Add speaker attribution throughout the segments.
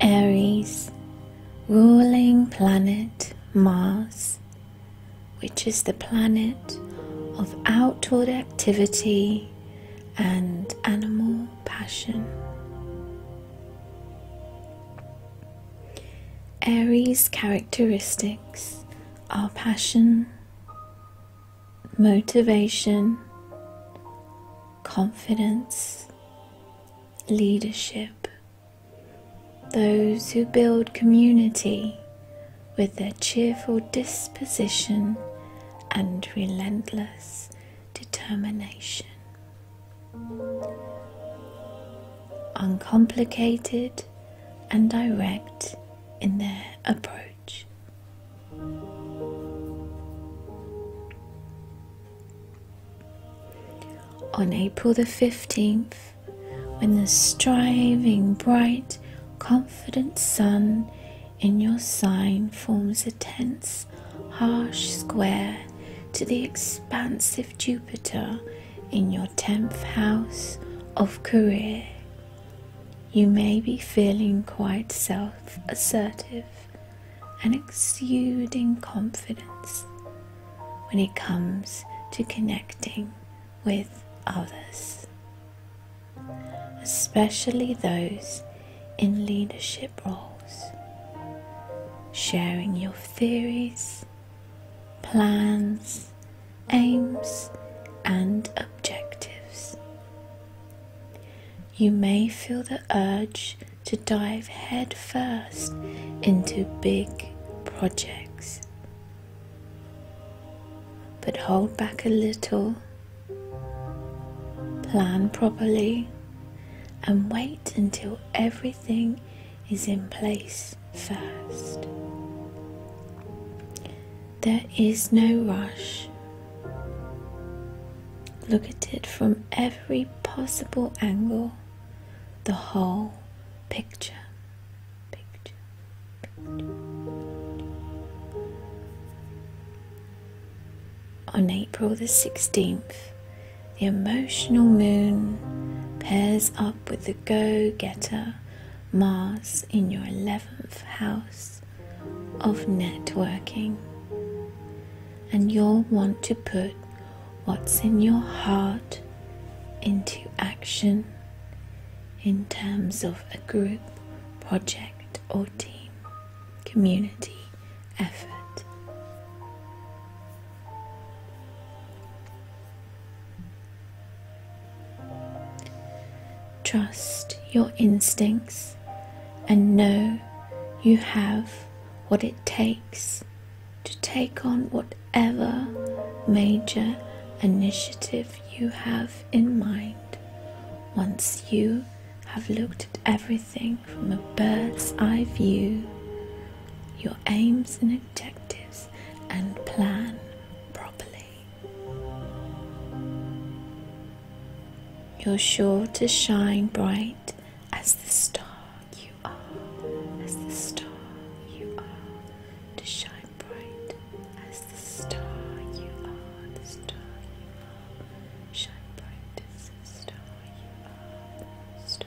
Speaker 1: Aries, ruling planet Mars, which is the planet of outward activity and animal passion. Aries characteristics are passion, motivation, confidence, leadership. Those who build community with their cheerful disposition and relentless determination. Uncomplicated, and direct in their approach. On April the 15th, when the striving, bright, confident sun in your sign forms a tense, harsh square to the expansive Jupiter in your 10th house of career. You may be feeling quite self assertive and exuding confidence when it comes to connecting with others, especially those in leadership roles, sharing your theories plans, aims, and objectives. You may feel the urge to dive headfirst into big projects, but hold back a little, plan properly, and wait until everything is in place first. There is no rush. Look at it from every possible angle, the whole picture. On April the 16th, the emotional moon pairs up with the the go getter Mars in your 11th house of networking. And you'll want to put what's in your heart into action in terms of a group, project, or team, community effort. Trust your instincts and know you have what it takes to take on whatever major initiative you have in mind once you have looked at everything from a bird's eye view, your aims and own objectives and plan properly. You're sure to shine bright as the star you are, as the star you are, to shine bright as the star you are, the star you are, shine bright as the star you are.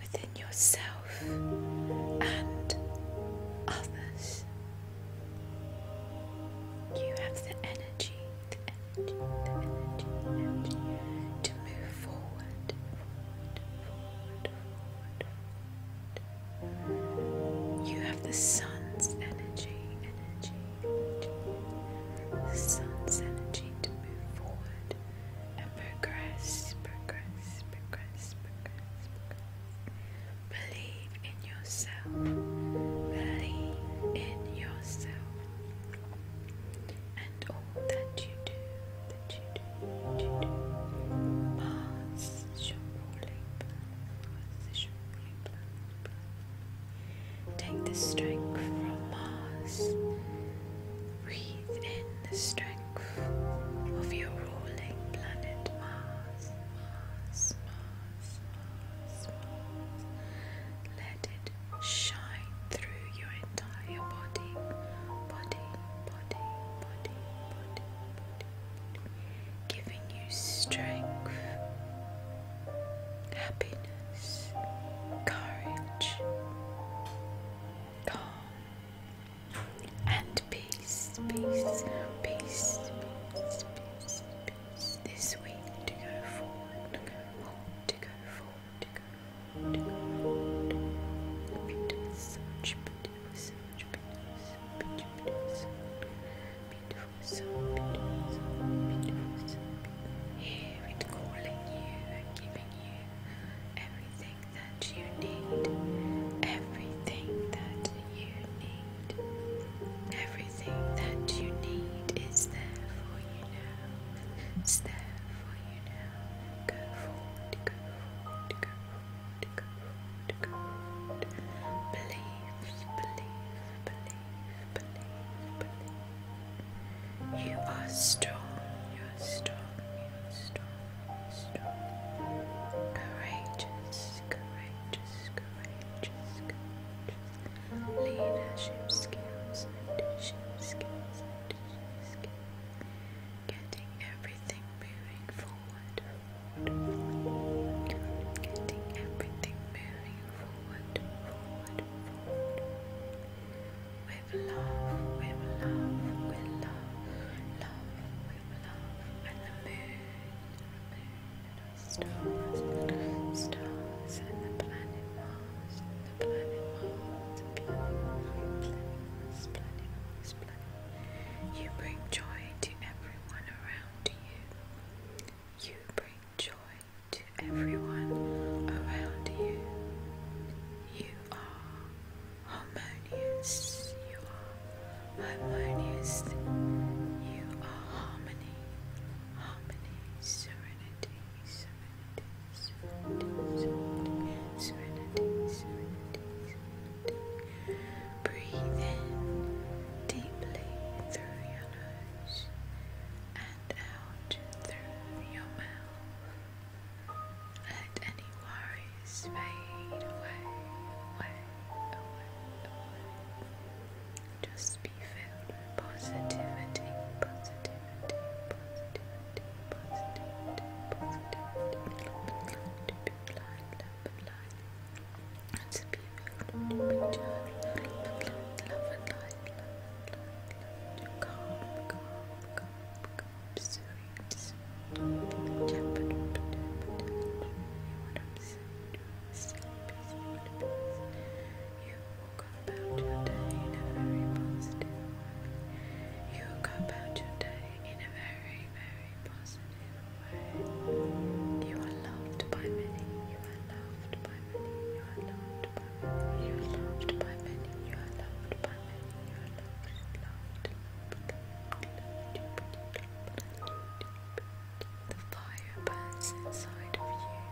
Speaker 1: within yourself and others. You have the energy, the energy, the energy, energy to move forward. You have the sun's energy, energy, energy, the sun's energy to move forward, and progress, progress, progress, progress, progress. Believe in yourself. Believe in yourself. And all that you do, that you do, that you do. Mars is your ruling plan. Mars is your ruling plan. Take the strength from Mars Breathe in the strength of your rolling planet Mars, Mars, Mars, Mars, Mars. Let it shine through your entire body, body, body, body, body, body. giving you strength, happiness, courage, calm and peace, peace, peace, peace, peace, peace this week to go forward, to go forward, to go forward, to go forward, to go forward. Beautiful, such beautiful, such beautiful, such beautiful, such beautiful, so beautiful, so beautiful, so beautiful. Here it's calling you and giving you everything that you need, everything that you need, everything that you need is there for you now. It's there for you now. Go forward, go forward, go forward, go forward, go forward. Believe, believe, believe, believe, believe. You are strong, you're strong, you're strong strong, courageous, courageous, courageous, courageous. Leadership skills, leadership skills, leadership skills. Getting everything moving forward. forward. Getting everything moving forward, forward, forward with love, with love, with love, love, with love, and the moon, and the stars, stars, and the planet Mars, and the planet Mars, the planet Mars, planet Mars, planet Mars, You bring joy to everyone around you. You bring joy to everyone around you. You are harmonious. You are harmonious. You are harmony, harmony, serenity, serenity, serenity, serenity, serenity, Breathe in deeply through your nose and out through your mouth. Let any worries fade away, Just be filled with positivity, positivity, positivity, positivity, positivity. To be blind, love and light. And be filled to joy, love and light, love and light, love and light. To calm, calm, calm, calm, soothe, perfect. You woke up out your day in a very positive way. You woke up out your day in a very, very positive way. You are loved by many. You are loved by many. You are loved by many. You are loved by many. You are loved by many. You are the fire burns inside of you.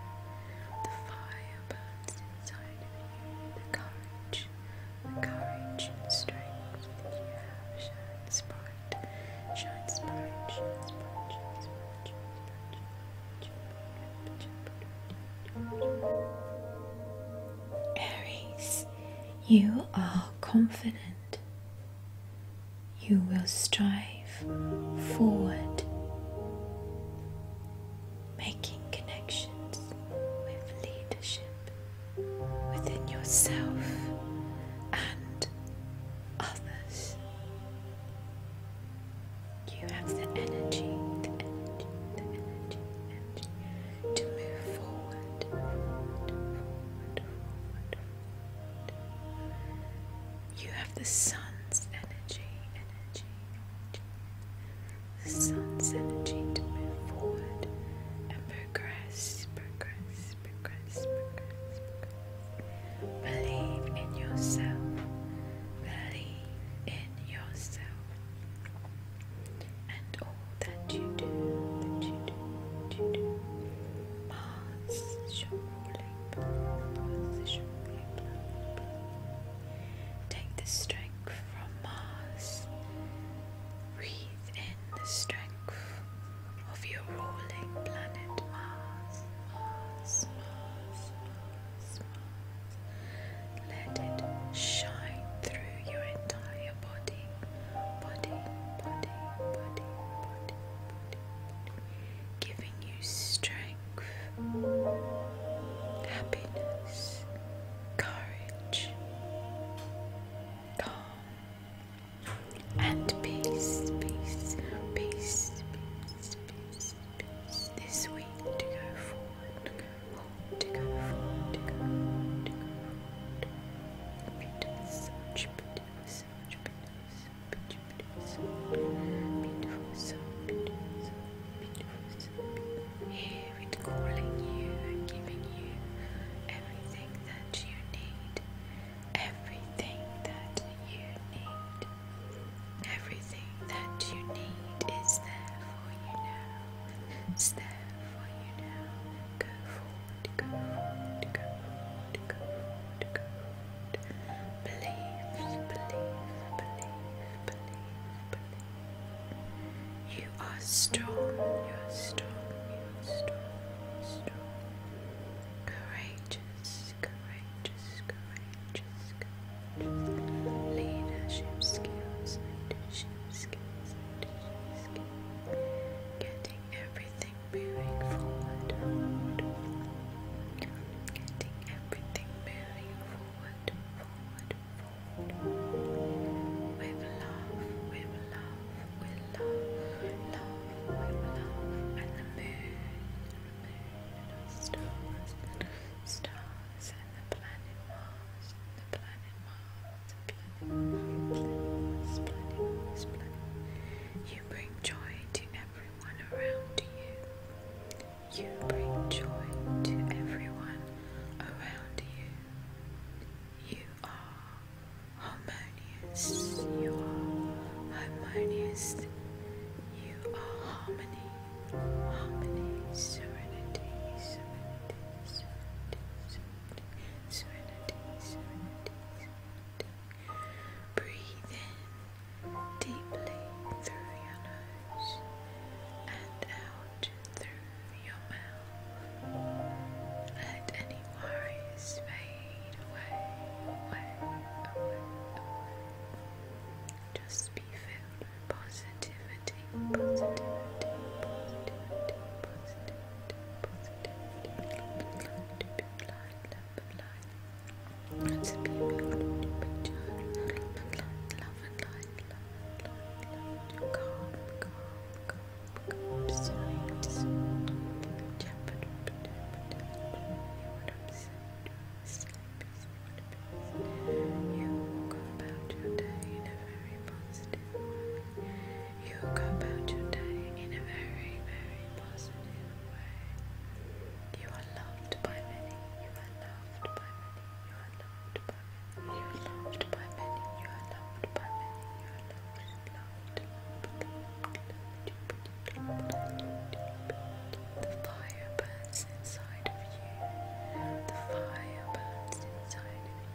Speaker 1: The fire burns inside of you. The courage, the courage and strength that you have Shine, bright, shines bright, shines bright, Aries, you are confident. You will strive forward, making connections with leadership within yourself and others. You have the energy, the energy to move forward, You have the sun's energy, the sun's energy to move forward and progress, progress, progress. Believe in yourself, believe in yourself and all that you do, that you do, that you do. Mars, Take the strength from Mars. Breathe in the strength of your rolling planet Mars. Let it shine through your entire body. Body, body, body, body, body, body. Giving you strength, happiness, courage, calm, and peace, peace, peace, peace, peace, peace. This week to go forward to go forward, to go forward, to go forward. Beautiful massage, beautiful massage, beautiful massage, beautiful massage, beautiful massage, beautiful massage, beautiful massage. Here it's calling you and giving you everything that you need, everything that you need. Everything that you need is there for you now. It's there for you now. Go forward, go forward, go forward, go forward, go forward. Believe, believe, believe, believe, believe. You are strong, you are strong, you are strong, strong. Courageous, courageous, courageous, courageous. Leadership skills, leadership skills. Getting everything moving forward. Getting everything moving forward, forward, forward. With love, with love, with love, love, with love, and the moon, the moon, and the stars, and the stars, and the planet Mars, and the planet Mars. You bring joy to everyone around you. You bring joy to everyone around you. You are harmonious. You are harmonious. You are harmony, harmony, serenity, serenity serenity, serenity, Breathe in deeply through your nose and out through your mouth. Let any worries fade away. Just be filled Positivity, positivity, positivity, positivity, positivity. Love, love, love, love, you will go about your day in a very positive you go about your day in a very, very positive way. You are loved by many. You are loved by many. You are loved by many. You are loved by many. You are loved by many. You are loved, loved, The fire burns inside of you. The fire burns inside of you.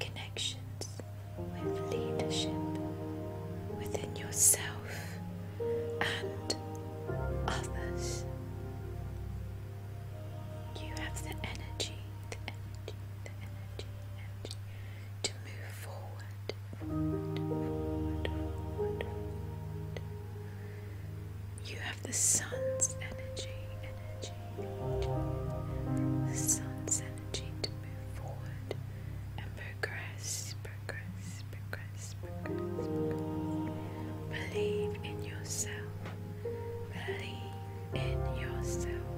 Speaker 1: connections with leadership within yourself and others. You have the energy, to move forward, You have the sun's energy the sun's energy to move forward and progress, progress, progress, progress, Believe in yourself, believe in yourself,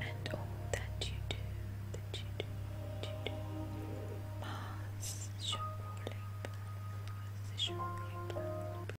Speaker 1: and all that you do, that you do, that you do. Mars is your ruling Mars is your ruling